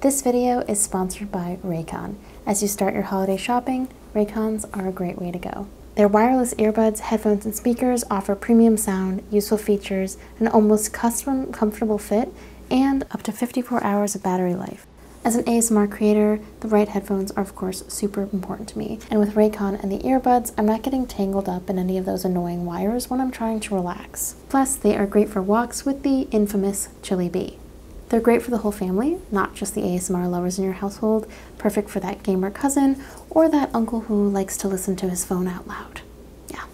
This video is sponsored by Raycon. As you start your holiday shopping, Raycons are a great way to go. Their wireless earbuds, headphones, and speakers offer premium sound, useful features, an almost custom comfortable fit, and up to 54 hours of battery life. As an ASMR creator, the right headphones are of course super important to me. And with Raycon and the earbuds, I'm not getting tangled up in any of those annoying wires when I'm trying to relax. Plus, they are great for walks with the infamous Chili Bee. They're great for the whole family, not just the ASMR lovers in your household, perfect for that gamer cousin or that uncle who likes to listen to his phone out loud. Yeah,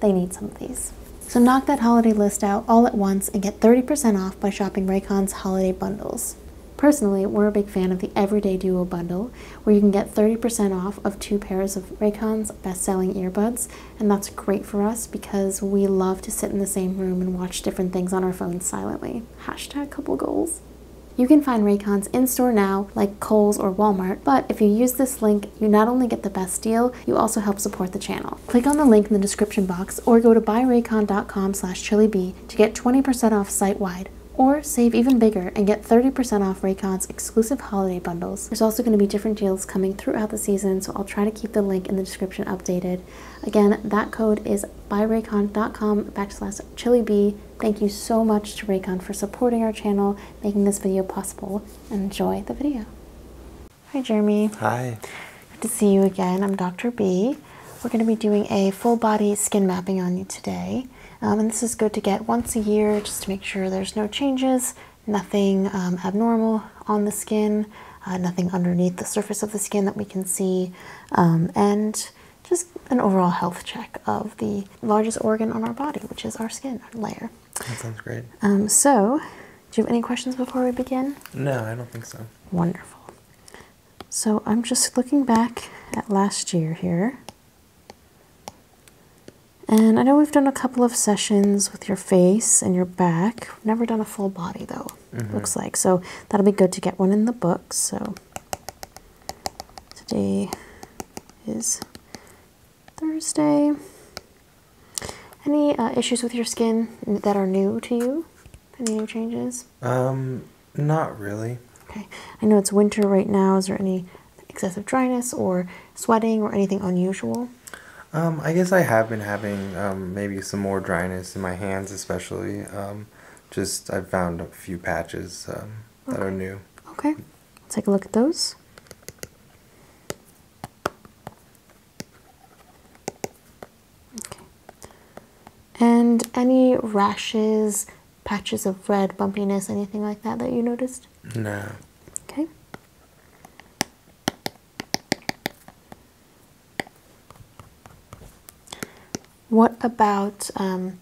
they need some of these. So knock that holiday list out all at once and get 30% off by shopping Raycon's holiday bundles. Personally, we're a big fan of the Everyday Duo bundle, where you can get 30% off of two pairs of Raycon's best-selling earbuds, and that's great for us because we love to sit in the same room and watch different things on our phones silently. Hashtag couple goals. You can find Raycons in-store now, like Kohl's or Walmart, but if you use this link, you not only get the best deal, you also help support the channel. Click on the link in the description box or go to buyraycon.com slash to get 20% off site-wide or save even bigger and get 30% off Raycon's exclusive holiday bundles. There's also going to be different deals coming throughout the season, so I'll try to keep the link in the description updated. Again, that code is buyraycon.com backslash chilibee. Thank you so much to Raycon for supporting our channel, making this video possible, enjoy the video. Hi, Jeremy. Hi. Good to see you again. I'm Dr. B we're going to be doing a full body skin mapping on you today. Um, and this is good to get once a year just to make sure there's no changes, nothing um, abnormal on the skin, uh, nothing underneath the surface of the skin that we can see, um, and just an overall health check of the largest organ on our body, which is our skin layer. That sounds great. so, do you have any questions before we begin? No, I don't think so. Wonderful. So I'm just looking back at last year here. And I know we've done a couple of sessions with your face and your back. never done a full body though, mm-hmm. looks like. So that'll be good to get one in the book. So today is Thursday. Any uh, issues with your skin that are new to you? Any new changes? Um, not really. Okay. I know it's winter right now. Is there any excessive dryness or sweating or anything unusual? Um, I guess I have been having um, maybe some more dryness in my hands, especially. Um, just I've found a few patches that are new. Okay, let's take a look at those. Okay. And any rashes, patches of red, bumpiness, anything like that that you noticed? No. Okay. What about um,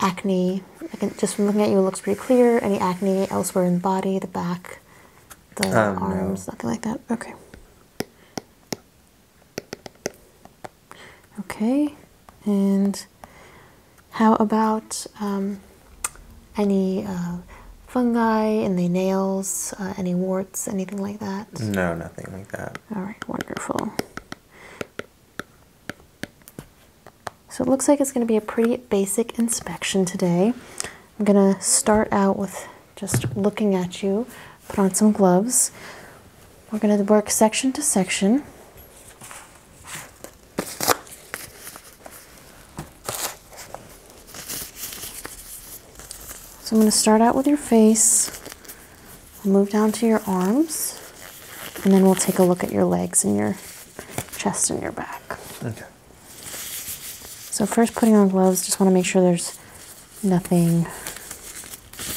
acne? Again, just from looking at you, it looks pretty clear. Any acne elsewhere in the body, the back, the um, arms, nothing like that? Okay. Okay, and how about um, any uh, fungi in the nails, uh, any warts, anything like that? No, nothing like that. All right, wonderful. So it looks like it's going to be a pretty basic inspection today. I'm going to start out with just looking at you put on some gloves. We're going to work section to section. So I'm going to start out with your face, move down to your arms, and then we'll take a look at your legs and your chest and your back. Okay. So first putting on gloves, just want to make sure there's nothing,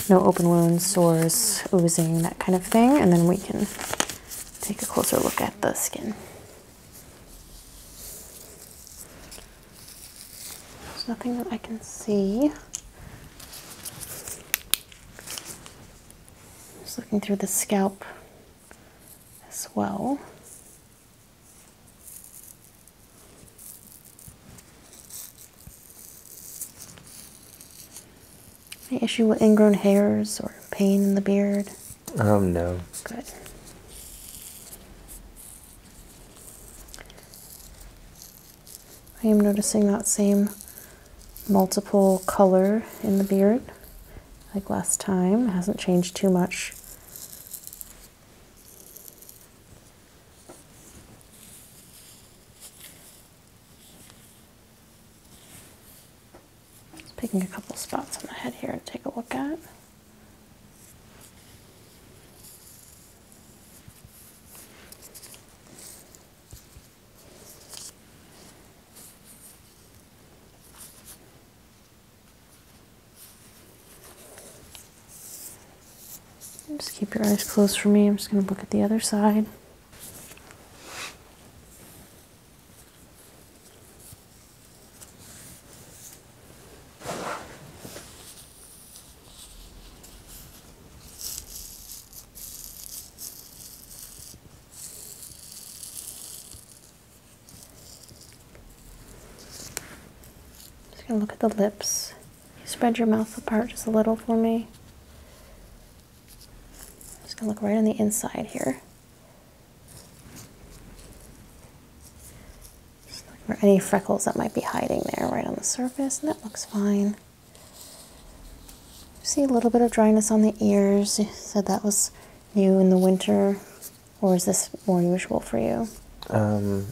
no open wounds, sores, oozing, that kind of thing. And then we can take a closer look at the skin. There's nothing that I can see. Just looking through the scalp as well. Any issue with ingrown hairs or pain in the beard? Oh no. Good. I am noticing that same multiple color in the beard like last time. hasn't changed too much picking a couple spots on my head here to take a look at. Just keep your eyes closed for me. I'm just going to look at the other side. Just going to look at the lips. Spread your mouth apart just a little for me. just gonna look right on the inside here. Just any freckles that might be hiding there right on the surface, and that looks fine. See a little bit of dryness on the ears. You said that was new in the winter, or is this more usual for you? Um,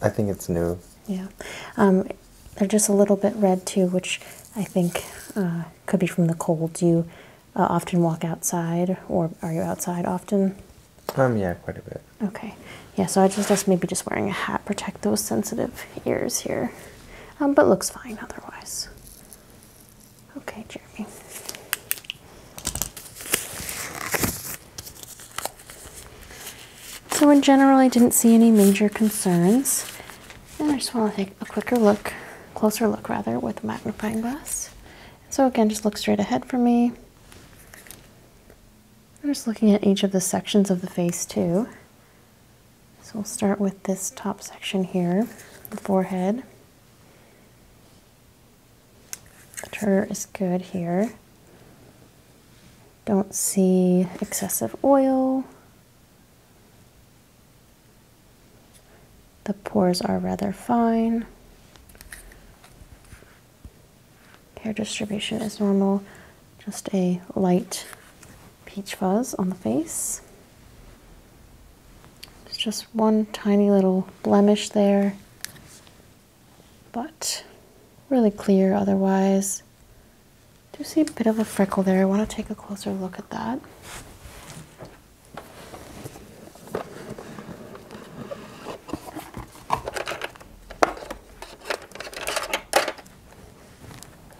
I think it's new. Yeah, um, they're just a little bit red too, which I think uh, could be from the cold. Do you uh, often walk outside, or are you outside often? Um, yeah, quite a bit. Okay, yeah. So I just guess maybe just wearing a hat protect those sensitive ears here, um, but looks fine otherwise. Okay, Jeremy. So in general, I didn't see any major concerns. And I just want to take a quicker look, closer look rather, with a magnifying glass. So again, just look straight ahead for me. I'm just looking at each of the sections of the face too. So we'll start with this top section here, the forehead. The turner is good here. Don't see excessive oil. The pores are rather fine. Hair distribution is normal, just a light peach fuzz on the face. just one tiny little blemish there but really clear otherwise. Do see a bit of a freckle there. I want to take a closer look at that.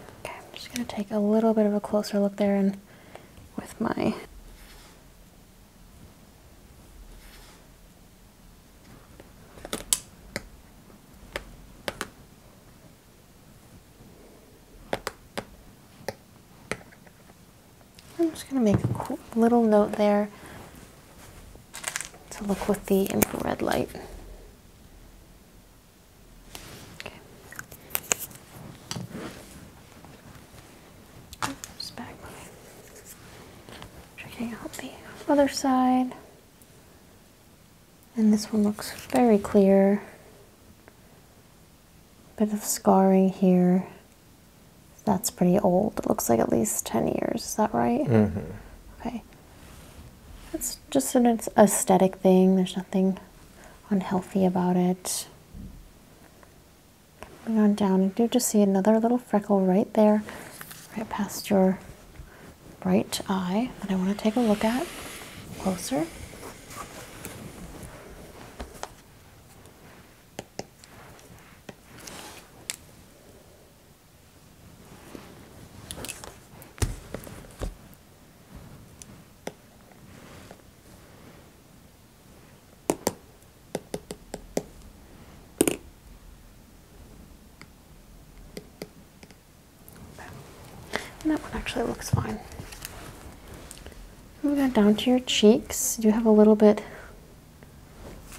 Okay, I'm just going to take a little bit of a closer look there and with my I'm just going to make a little note there to look with the infrared light. Okay. Oops, back. Checking out the other side. And this one looks very clear. Bit of scarring here. That's pretty old. It looks like at least 10 years. Is that right? Mm -hmm. Okay. It's just an aesthetic thing. There's nothing unhealthy about it. Coming on down, I do just see another little freckle right there, right past your right eye that I want to take a look at closer. And that one actually looks fine. Moving on down to your cheeks, you have a little bit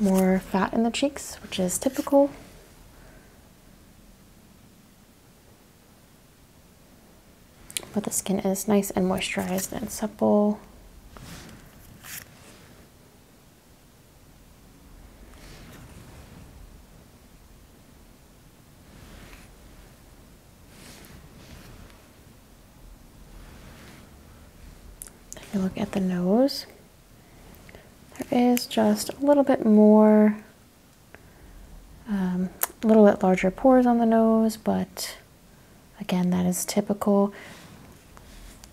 more fat in the cheeks, which is typical. But the skin is nice and moisturized and supple. If you look at the nose, there is just a little bit more, um, a little bit larger pores on the nose, but again, that is typical.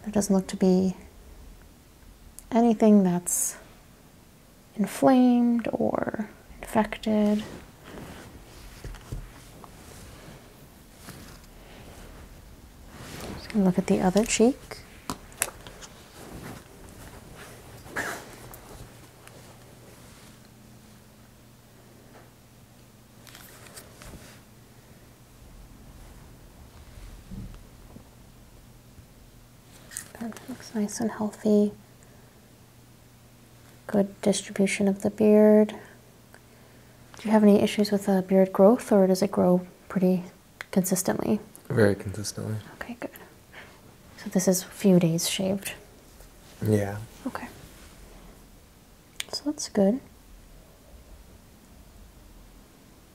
There doesn't look to be anything that's inflamed or infected. Just going look at the other cheek looks nice and healthy. Good distribution of the beard. Do you have any issues with uh, beard growth or does it grow pretty consistently? Very consistently. Okay, good. So this is a few days shaved. Yeah. Okay. So that's good.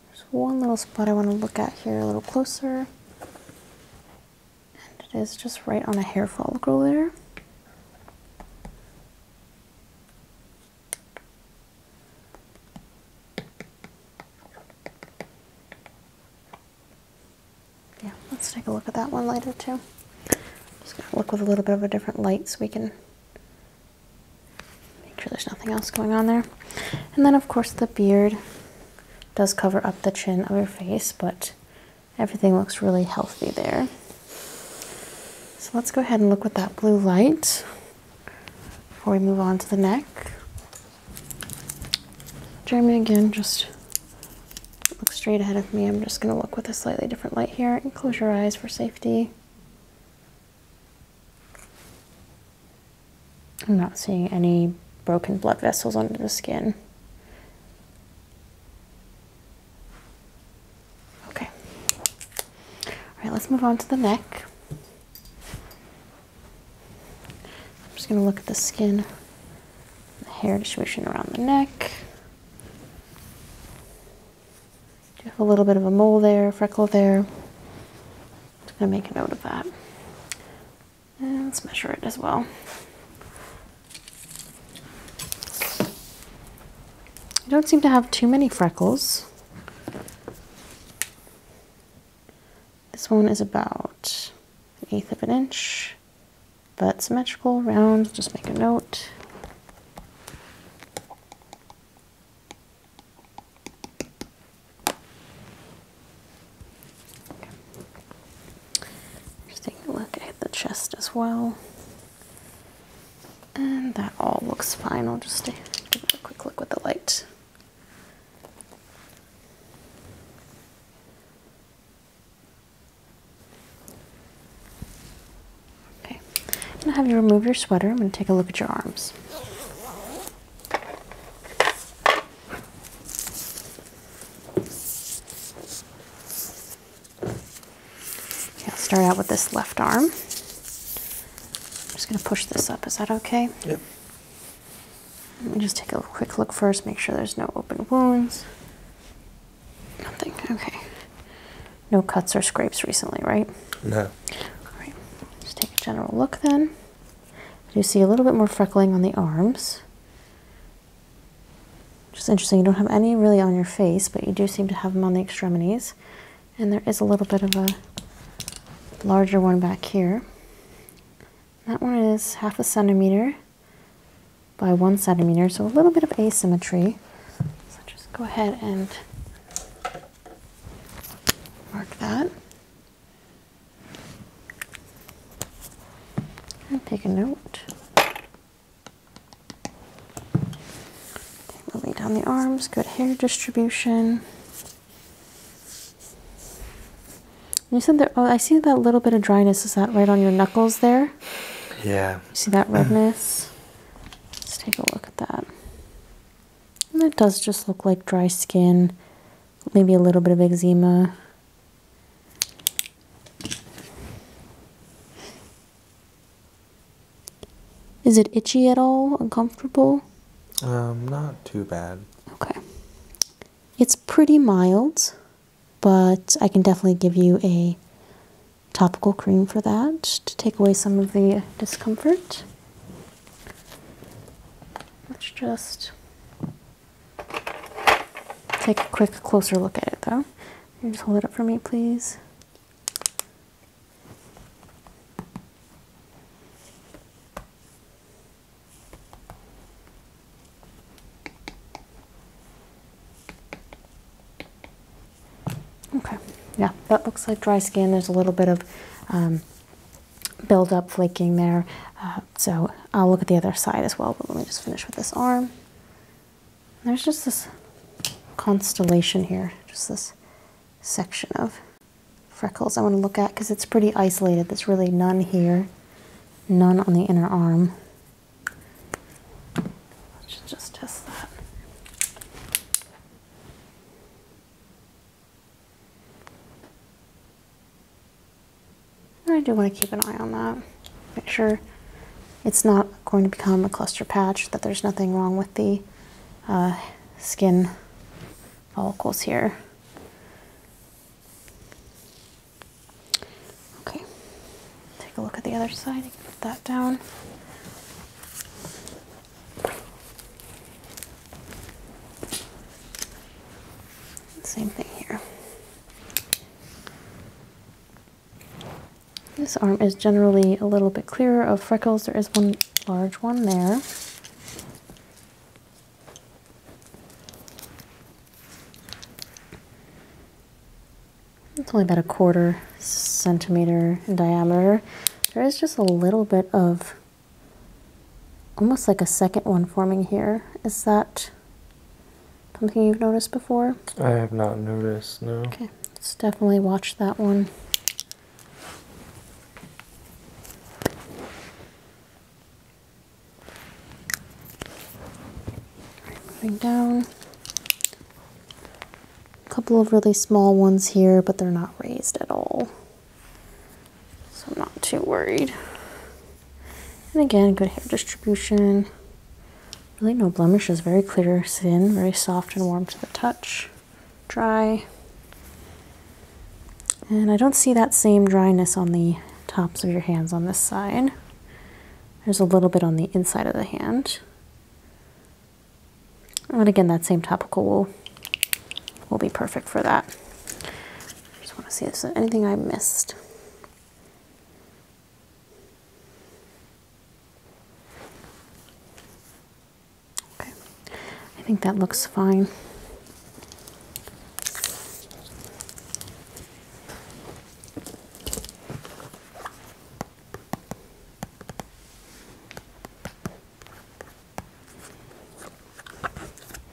There's one little spot I want to look at here a little closer. And it is just right on a hair follicle there. Yeah, let's take a look at that one later too. Just gonna look with a little bit of a different light so we can Make sure there's nothing else going on there. And then, of course, the beard does cover up the chin of your face, but everything looks really healthy there. So let's go ahead and look with that blue light before we move on to the neck. Jeremy, again, just look straight ahead of me. I'm just going to look with a slightly different light here and close your eyes for safety. I'm not seeing any broken blood vessels under the skin. Okay. All right, let's move on to the neck. I'm just going to look at the skin, the hair distribution around the neck you have a little bit of a mole there, freckle there? I'm just going to make a note of that. let's measure it as well. You don't seem to have too many freckles. This one is about an eighth of an inch, but symmetrical, round, just make a note. Just take a look at the chest as well. And that all looks fine. I'll just give a quick look with the light. Okay, I'm gonna have you remove your sweater. I'm gonna take a look at your arms. Okay, I'll start out with this left arm. I'm just gonna push this up. Is that okay? Yep. Let me just take a quick look first, make sure there's no open wounds. Nothing. Okay. No cuts or scrapes recently, right? No. All right. Just take a general look then. I do see a little bit more freckling on the arms. Just interesting. You don't have any really on your face, but you do seem to have them on the extremities. And there is a little bit of a larger one back here. That one is half a centimeter by one centimeter, so a little bit of asymmetry. So just go ahead and Mark that. And take a note. Okay, moving down the arms, good hair distribution. You said that, oh, I see that little bit of dryness. Is that right on your knuckles there? Yeah. see that redness? Let's take a look at that that does just look like dry skin, maybe a little bit of eczema. Is it itchy at all? Uncomfortable? Um, not too bad. Okay. It's pretty mild, but I can definitely give you a topical cream for that to take away some of the discomfort. Let's just take a quick closer look at it though. you just hold it up for me, please? Okay, yeah, that looks like dry skin. There's a little bit of um, buildup flaking there. Uh, so I'll look at the other side as well, but let me just finish with this arm. There's just this constellation here, just this section of freckles I want to look at because it's pretty isolated. There's really none here, none on the inner arm. Let's just test that. I do want to keep an eye on that. Make sure it's not going to become a cluster patch, that there's nothing wrong with the uh, skin follicles here. Okay, take a look at the other side, put that down. Same thing here. This arm is generally a little bit clearer of freckles. There is one large one there. It's only about a quarter centimeter in diameter. There is just a little bit of almost like a second one forming here. Is that something you've noticed before? I have not noticed, no. Okay, let's definitely watch that one. Right, moving down. A couple of really small ones here, but they're not raised at all. So I'm not too worried. And again, good hair distribution. Really no blemishes, very clear skin, very soft and warm to the touch, dry. And I don't see that same dryness on the tops of your hands on this side. There's a little bit on the inside of the hand. And again, that same topical will, will be perfect for that. Just want to see if there's anything I missed. Okay, I think that looks fine.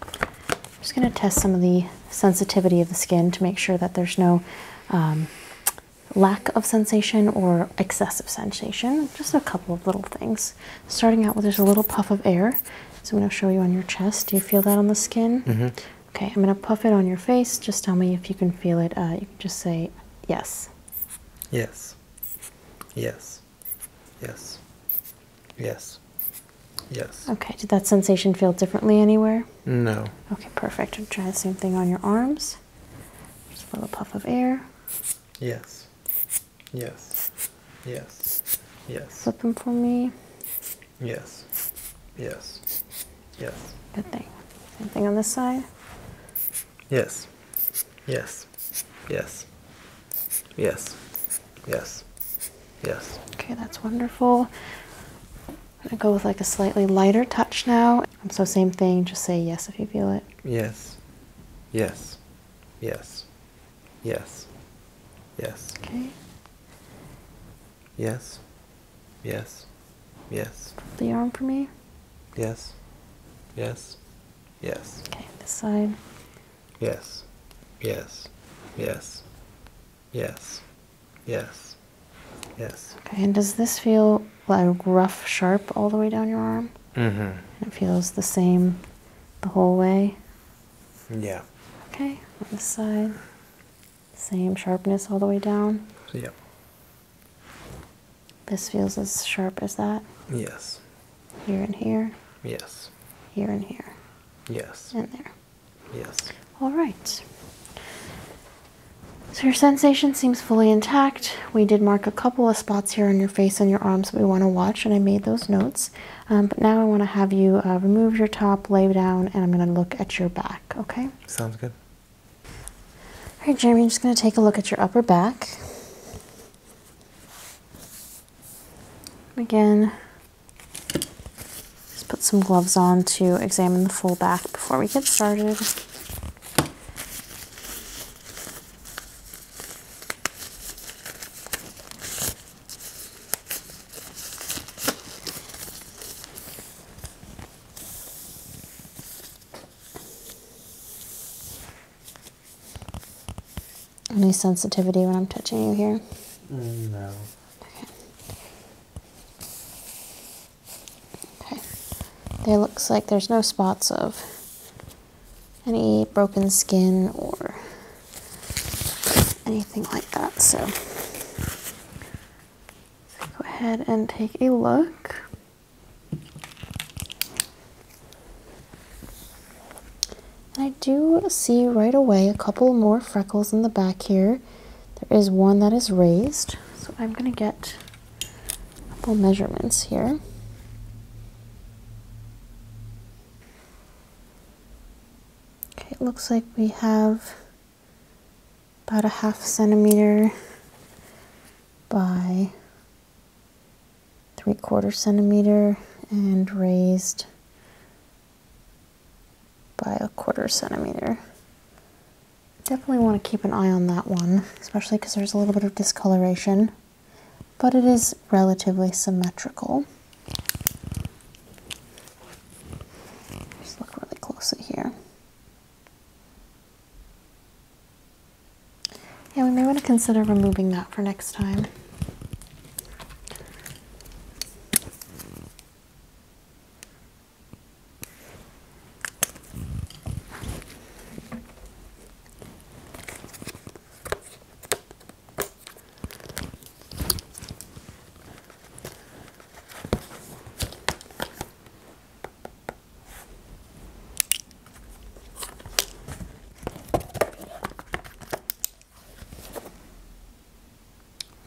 I'm just going to test some of the sensitivity of the skin to make sure that there's no um, lack of sensation or excessive sensation. Just a couple of little things. Starting out with just a little puff of air. So I'm going to show you on your chest. Do you feel that on the skin? Mm-hmm. Okay, I'm going to puff it on your face. Just tell me if you can feel it. Uh, you can just say Yes. Yes. Yes. Yes. Yes. Yes. Okay. Did that sensation feel differently anywhere? No. Okay, perfect. Try the same thing on your arms. Just a little puff of air. Yes. Yes. Yes. Yes. Flip them for me. Yes. Yes. Yes. Good thing. Same thing on this side? Yes. Yes. Yes. Yes. Yes. Yes. Okay, that's wonderful. I'm gonna go with like a slightly lighter touch now. So same thing, just say yes if you feel it. Yes. Yes. Yes. Yes. Yes. Okay. Yes. Yes. Yes. The arm for me? Yes. Yes. Yes. Okay, this side. Yes. Yes. Yes. Yes. Yes. Yes. Okay, and does this feel like rough, sharp all the way down your arm? hmm It feels the same the whole way? Yeah. Okay, on this side. Same sharpness all the way down? Yep. This feels as sharp as that? Yes. Here and here? Yes. Here and here? Yes. And there? Yes. All right. So your sensation seems fully intact. We did mark a couple of spots here on your face and your arms that we want to watch, and I made those notes. Um, but now I want to have you uh, remove your top, lay down, and I'm going to look at your back, okay? Sounds good. All right, Jeremy, I'm just going to take a look at your upper back. Again, let's put some gloves on to examine the full back before we get started. Any sensitivity when I'm touching you here? no. Okay. okay. There looks like there's no spots of any broken skin or anything like that, so so go ahead and take a look. I do see right away a couple more freckles in the back here. There is one that is raised. So I'm going to get a couple measurements here. Okay, it looks like we have about a half centimeter by three quarter centimeter and raised by a quarter centimeter. Definitely want to keep an eye on that one, especially because there's a little bit of discoloration, but it is relatively symmetrical. Just look really closely here. Yeah, we may want to consider removing that for next time.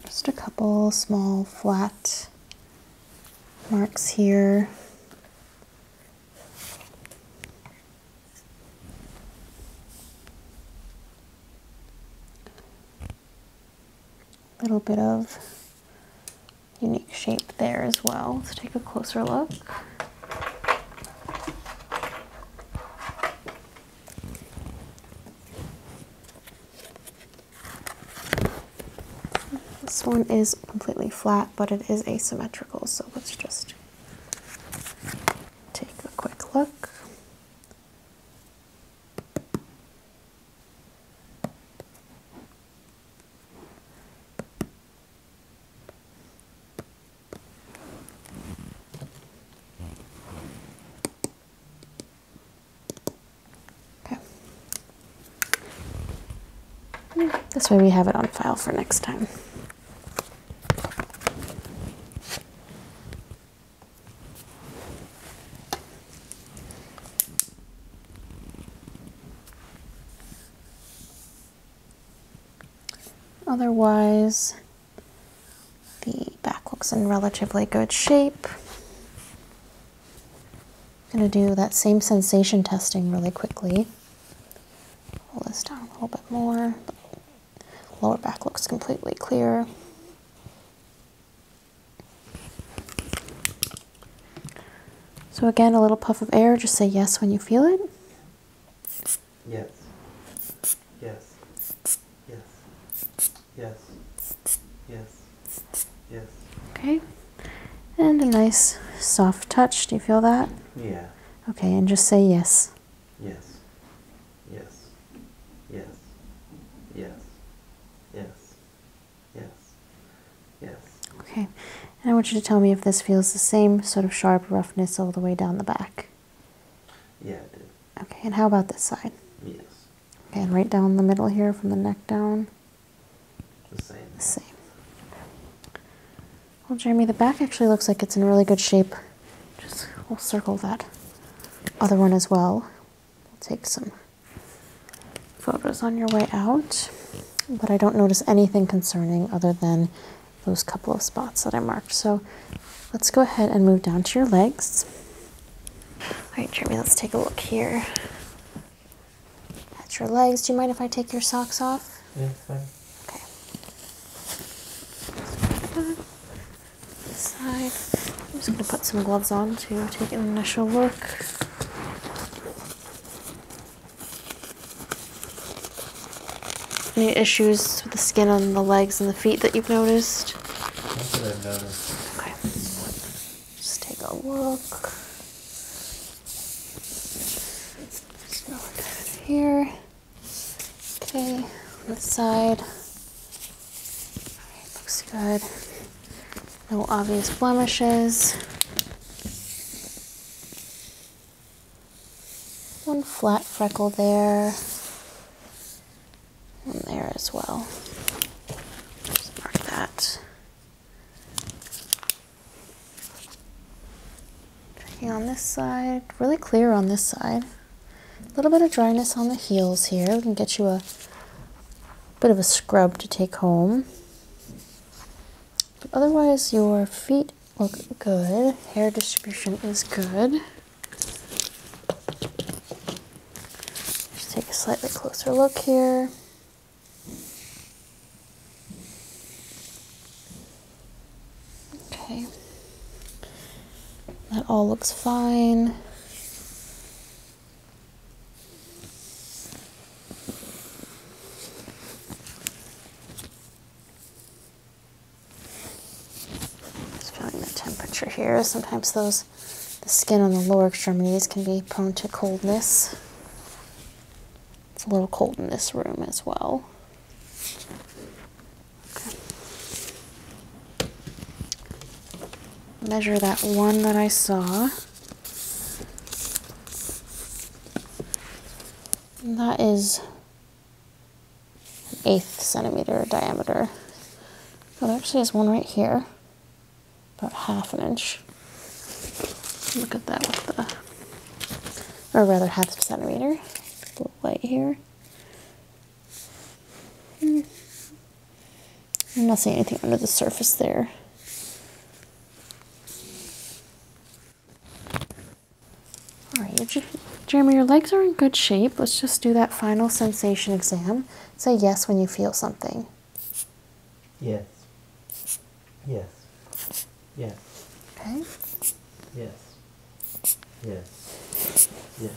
Just a couple small flat marks here. A little bit of unique shape there as well. Let's take a closer look. This one is completely flat, but it is asymmetrical, so let's just take a quick look. Okay. Hmm, this way we have it on file for next time. Otherwise, the back looks in relatively good shape. I'm going to do that same sensation testing really quickly. Pull this down a little bit more. Lower back looks completely clear. So again, a little puff of air, just say yes when you feel it. Yes. Yes. Yes. Yes. Yes. Yes. Okay. And a nice soft touch. Do you feel that? Yeah. Okay, and just say yes. Yes. Yes. Yes. Yes. Yes. Yes. Yes. Okay. And I want you to tell me if this feels the same sort of sharp roughness all the way down the back. Yeah, it did. Okay, and how about this side? Yes. Okay, and right down the middle here from the neck down. The same. The same. Well, Jeremy, the back actually looks like it's in really good shape. Just we'll circle that other one as well. We'll take some photos on your way out, but I don't notice anything concerning other than those couple of spots that I marked. So let's go ahead and move down to your legs. All right, Jeremy, let's take a look here That's your legs. Do you mind if I take your socks off? Yeah, fine. Okay side. I'm just going to put some gloves on to take an initial look. Any issues with the skin on the legs and the feet that you've noticed? That's what I've noticed. Okay. Just take a look. Just go here. Okay, This side looks good. No obvious blemishes. One flat freckle there. One there as well. Just mark that. Checking on this side. Really clear on this side. A little bit of dryness on the heels here. We can get you a bit of a scrub to take home. otherwise, your feet look good. Hair distribution is good. Just take a slightly closer look here. Okay. That all looks fine feeling the temperature here. Sometimes those, the skin on the lower extremities can be prone to coldness. It's a little cold in this room as well measure that one that I saw. that is an eighth centimeter diameter. Oh, there actually is one right here, about half an inch. Look at that with the, or rather half a centimeter, the light here. I'm not seeing anything under the surface there. All right, Jeremy, your legs are in good shape. Let's just do that final sensation exam. Say yes when you feel something. Yes. Yes. Yes. Okay. Yes. Yes. Yes.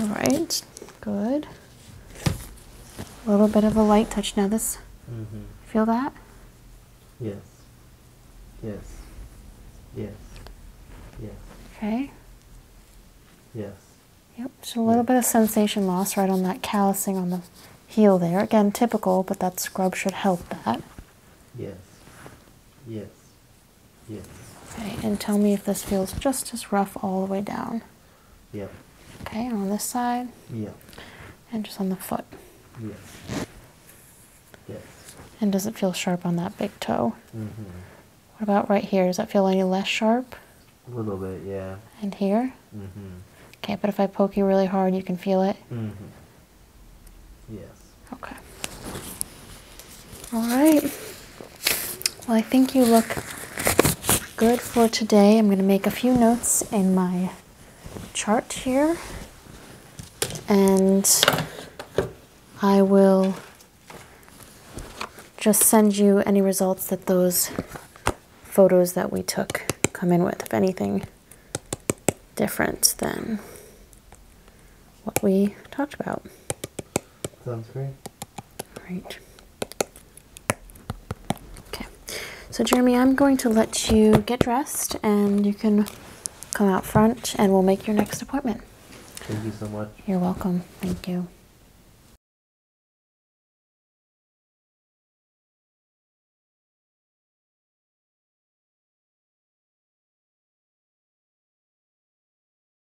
All right. Good. A little bit of a light touch now. This mm-hmm. feel that? Yes. Yes. Yes. Yes. Okay. Yes. Yep. So a little bit of sensation loss right on that callousing on the heel there. Again, typical, but that scrub should help that. Yes. Yes. Yeah. Okay, and tell me if this feels just as rough all the way down. Yeah. Okay, on this side. Yeah. And just on the foot. Yes. Yes. And does it feel sharp on that big toe? Mm hmm What about right here? Does that feel any less sharp? A little bit, yeah. And here? Mm hmm Okay, but if I poke you really hard, you can feel it? Mm hmm Yes. Okay. All right. Well, I think you look good for today. I'm going to make a few notes in my chart here. And I will just send you any results that those photos that we took come in with, if anything different than what we talked about. Sounds great. Right. Okay. So Jeremy, I'm going to let you get dressed and you can come out front and we'll make your next appointment. Thank you so much. You're welcome. Thank you.